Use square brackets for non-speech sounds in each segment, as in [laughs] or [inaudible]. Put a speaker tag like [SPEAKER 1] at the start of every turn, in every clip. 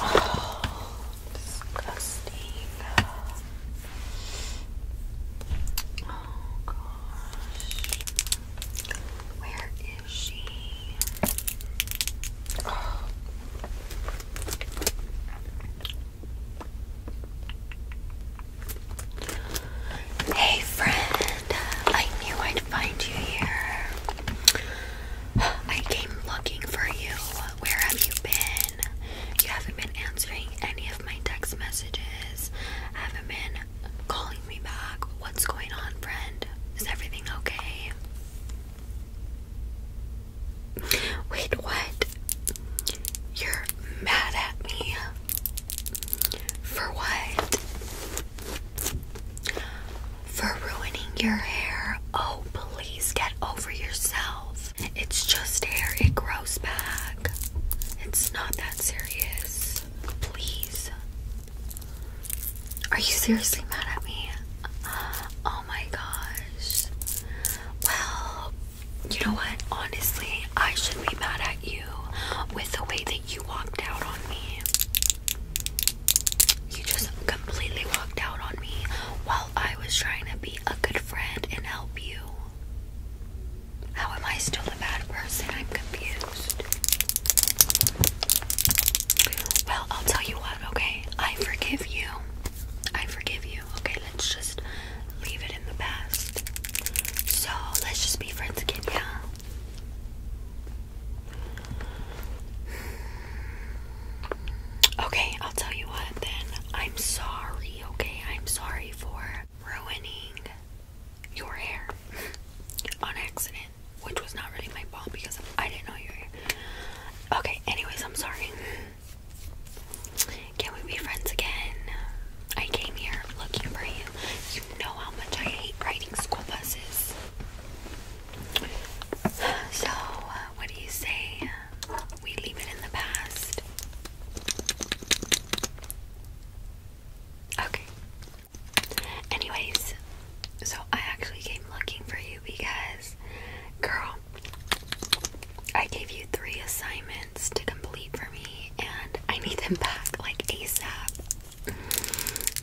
[SPEAKER 1] Oh, disgusting. Oh gosh. Where is she? Hey friend, I knew I'd find you here. I came looking for you. Where have you been? You haven't been answering any of my text messages. Haven't been calling me back. What's going on, friend? Is everything okay? Wait, what? You're mad at me. For what? for ruining your hair. Oh, please get over yourself. It's just hair, it grows back. It's not that serious. Please. Are you seriously mad at me? Uh, oh my gosh. Well, you know what? Honestly, I should be mad at you with the way that you walked out on me. You just completely walked out on me while I was trying to be a good friend and help you. How am I still a bad person? I'm confused. Well, I'll tell you what, okay? I forgive you. I forgive you. Okay, let's just leave it in the past. So, let's just be friends again, yeah? Okay, I'll tell you what then. I'm sorry, okay? I'm sorry for ruining your hair [laughs] on accident, which was not really my fault because I didn't know your hair. Okay, anyways, I'm sorry. Can we be friends again? I came here looking for you. You know how much I hate riding school buses. So, uh, what do you say? Uh, we leave it in the past. Okay. Anyways, so I actually came looking for you because, girl, I gave you three assignments to complete for me and I need them back like ASAP.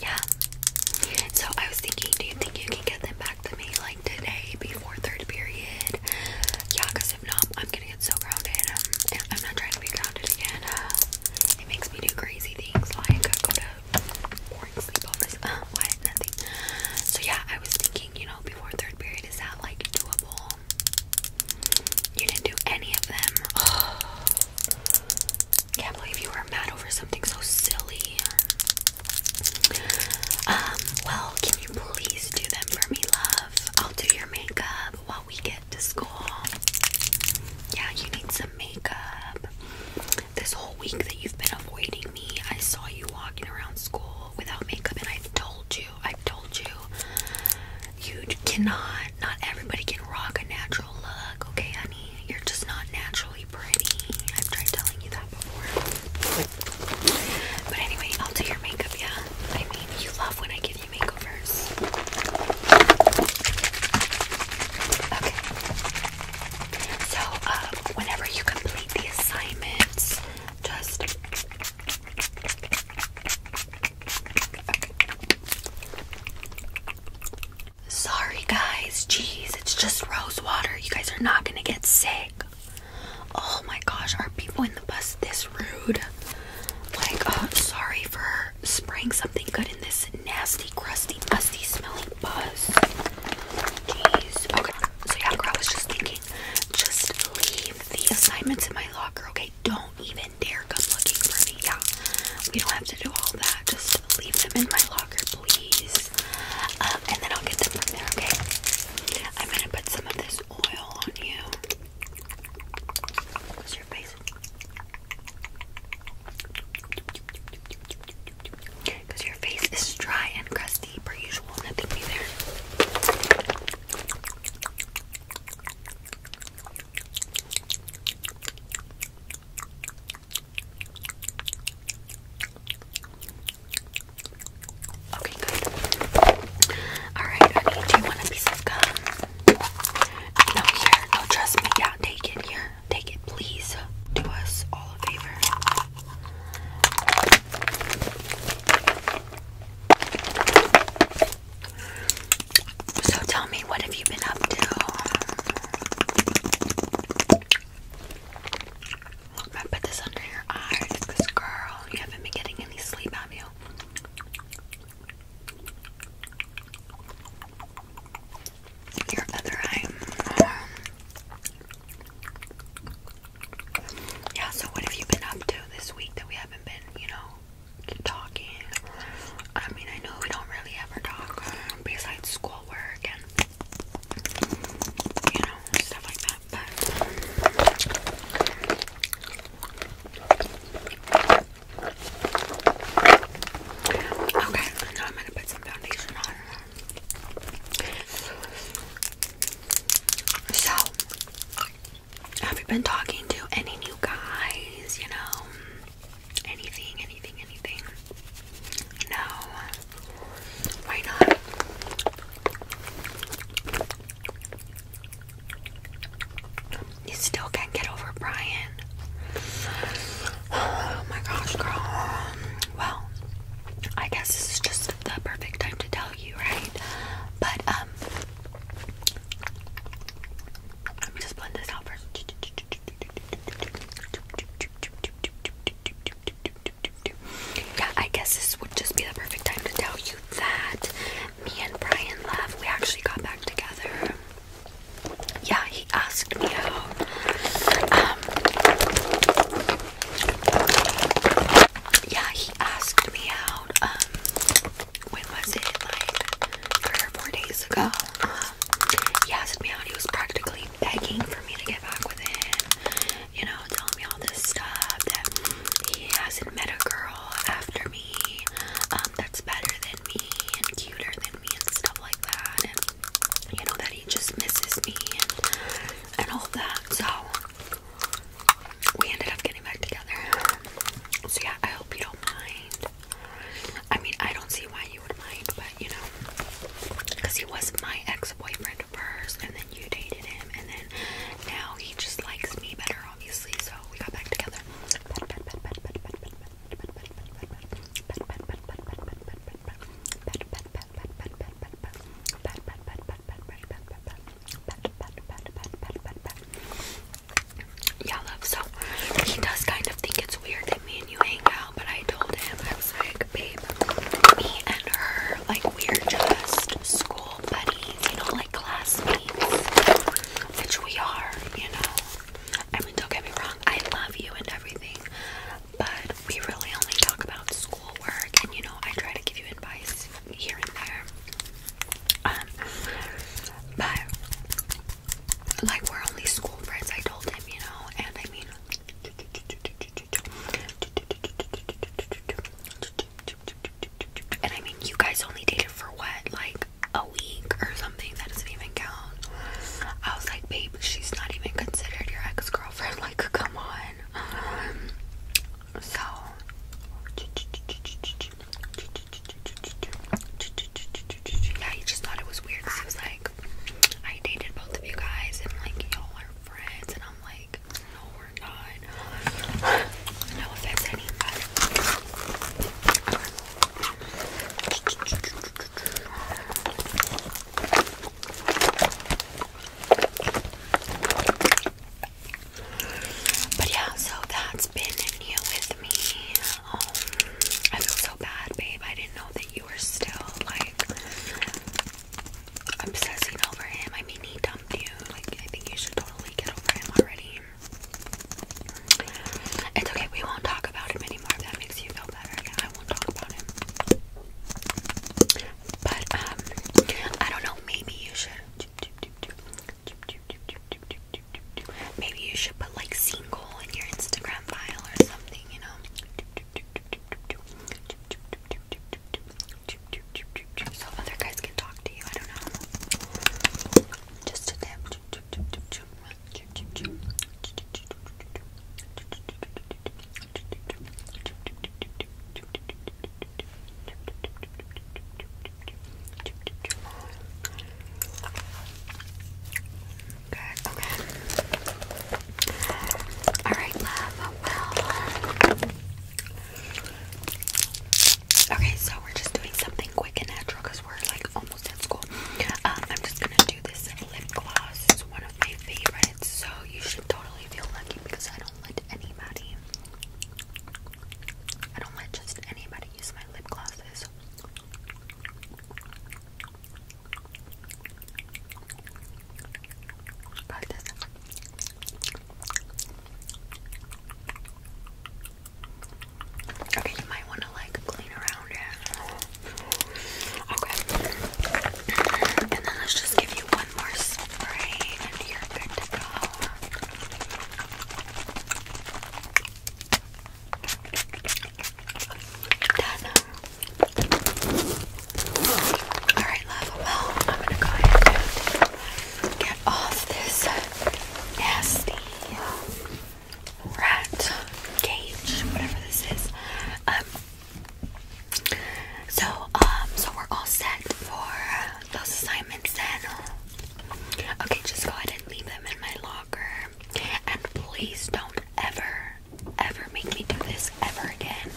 [SPEAKER 1] Yeah. So I was thinking, do you think you can get them back to me like today before third period? Yeah, because if not, I'm gonna get so grounded. Um, I'm not trying to be grounded again. Uh, it makes me do crazy things like uh, go to boring sleepovers. Uh, what? Nothing. So yeah, I was thinking, you know, before third period, is that like doable? You didn't do any of them. [sighs] [sighs] Can't believe you were mad over something so silly. Um, well, can you please do them for me, love? I'll do your makeup while we get to school. Yeah, you need some makeup. This whole week that you've been avoiding me, I saw you walking around school without makeup, and I've told you, I've told you, you cannot, not everybody can rock a natural okay, honey? You're just not naturally pretty. I've tried telling you that before. But anyway, I'll do your makeup, yeah? I mean, you love when I give you makeovers. Okay. So, uh, whenever you complete the assignments, just. Sorry, guys. Jeez, it's just rose water. You guys are not gonna get sick. Oh my gosh, are people in the bus this rude? Like, uh, sorry for spraying something good in this nasty, crusty, musty smelling bus. Jeez. Okay, so yeah, girl, I was just thinking, just leave the assignments in my locker, okay? Don't even dare come looking for me. Yeah, we don't have to do all that. Just leave them in my locker, please. Um, and then I'll get them from there, okay? I'm gonna put some of this oil on you. Because your face is dry and crusty, per usual, nothing new there. Okay, good. Alright, honey, do you want a piece of gum? No, here. No, trust me. Yeah, take it. Here. Take it, please. Do us all a favor. So tell me, what have you been up to? I'm put this under your eyes because, girl, you haven't been getting any sleep, have you? Your other eye. Mm, yeah, so what have you been up to this week that we haven't been, you know, talking. I mean, I know we don't really ever talk um, besides schoolwork and you know stuff like that. But um, okay, now I'm gonna put some foundation on. So have you been talking to any new guys? You know, anything, anything, anything? No. Why not? You still can't get over Brian. Oh my gosh, girl. Well, I guess this is just the perfect time to tell you, right? But, um, yeah, I guess this would just be the perfect time to tell you that me and Brian left. We actually got back together. Yeah, he asked me out. Um, yeah, he asked me out. Um, when was it? three or four days ago. Um, he asked me out. He was practically begging for me to get back with him. You know, telling me all this stuff that he hasn't met a girl after me um, that's better than me and cuter than me and stuff like that. And you know that he just misses me and and all that. So we ended up getting back together. So yeah, I hope you don't mind. I mean, I don't see why you would mind, but you know, because he was my ex-boyfriend first, and then you dated him, and then now he just likes me better, obviously. So we got back together. Yeah, love. So he does kind of think it's weird that me and you hang out, but I told him I was like, babe, me and her, like we're just school buddies, you know, like classmates, which we are, you know. And mean, don't get me wrong, I love you and everything, but we really only talk about schoolwork, and you know, I try to give you advice here and there. Um, but like we're only school friends, I told him, you know, and I mean and I mean you guys only dated for what, like a week or something, that doesn't even count. I was like, babe, she's not even considered your ex-girlfriend, [laughs] like come on. Um, so yeah, he just thought it was weird because was like, I dated both of you guys and like y'all are friends and I'm like, no we're not. No offense anybody. But yeah, so that's been new with me. Um, I feel so bad, babe. I didn't know that you were still like obsessing over him. I mean, he dumped you. Like, I think you should totally get over him already. It's okay. We won't talk about him anymore. If that makes you feel better, I won't talk about him. But um, I don't know. Maybe you should. Maybe you should put like single in your Instagram file or something, you know. So other guys can talk to you. I don't know. Just a tip. Good, okay. Alright, love. okay, so we're just doing something quick and natural because we're like almost at school. Um, I'm just gonna do this lip gloss, it's one of my favorites, so you should totally feel lucky because I don't let anybody I don't let just anybody use my lip glosses. Okay, you might want to like clean around it. Okay. [clears throat] And then let's just give you one one more spray and you're good to go. Alright, love. I'm gonna go ahead and get off this nasty rat cage, whatever this is. Um, so um so we're all set for those assignments then. Okay, just go ahead and leave them in my locker. And please don't ever, ever make me do this ever again.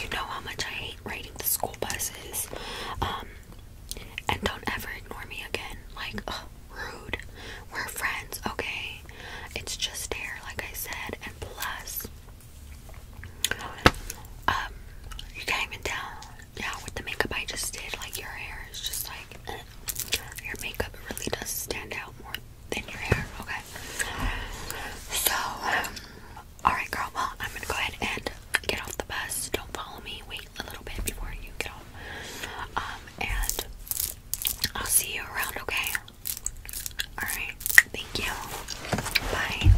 [SPEAKER 1] You know how much I hate riding the school buses. Um, and don't ever ignore me again. Like, rude. We're friends, okay? It's just there, like I said. And plus, um, you can't even Yeah, with the makeup I just did, like your hair is just like [clears throat] your makeup really does stand out more than your hair. Okay. So, um, all right, girl. Well, I'm gonna go ahead and get off the bus. Don't follow me. Wait a little bit before you get off. Um, and I'll see you around. Okay. All right. Thank you. Bye.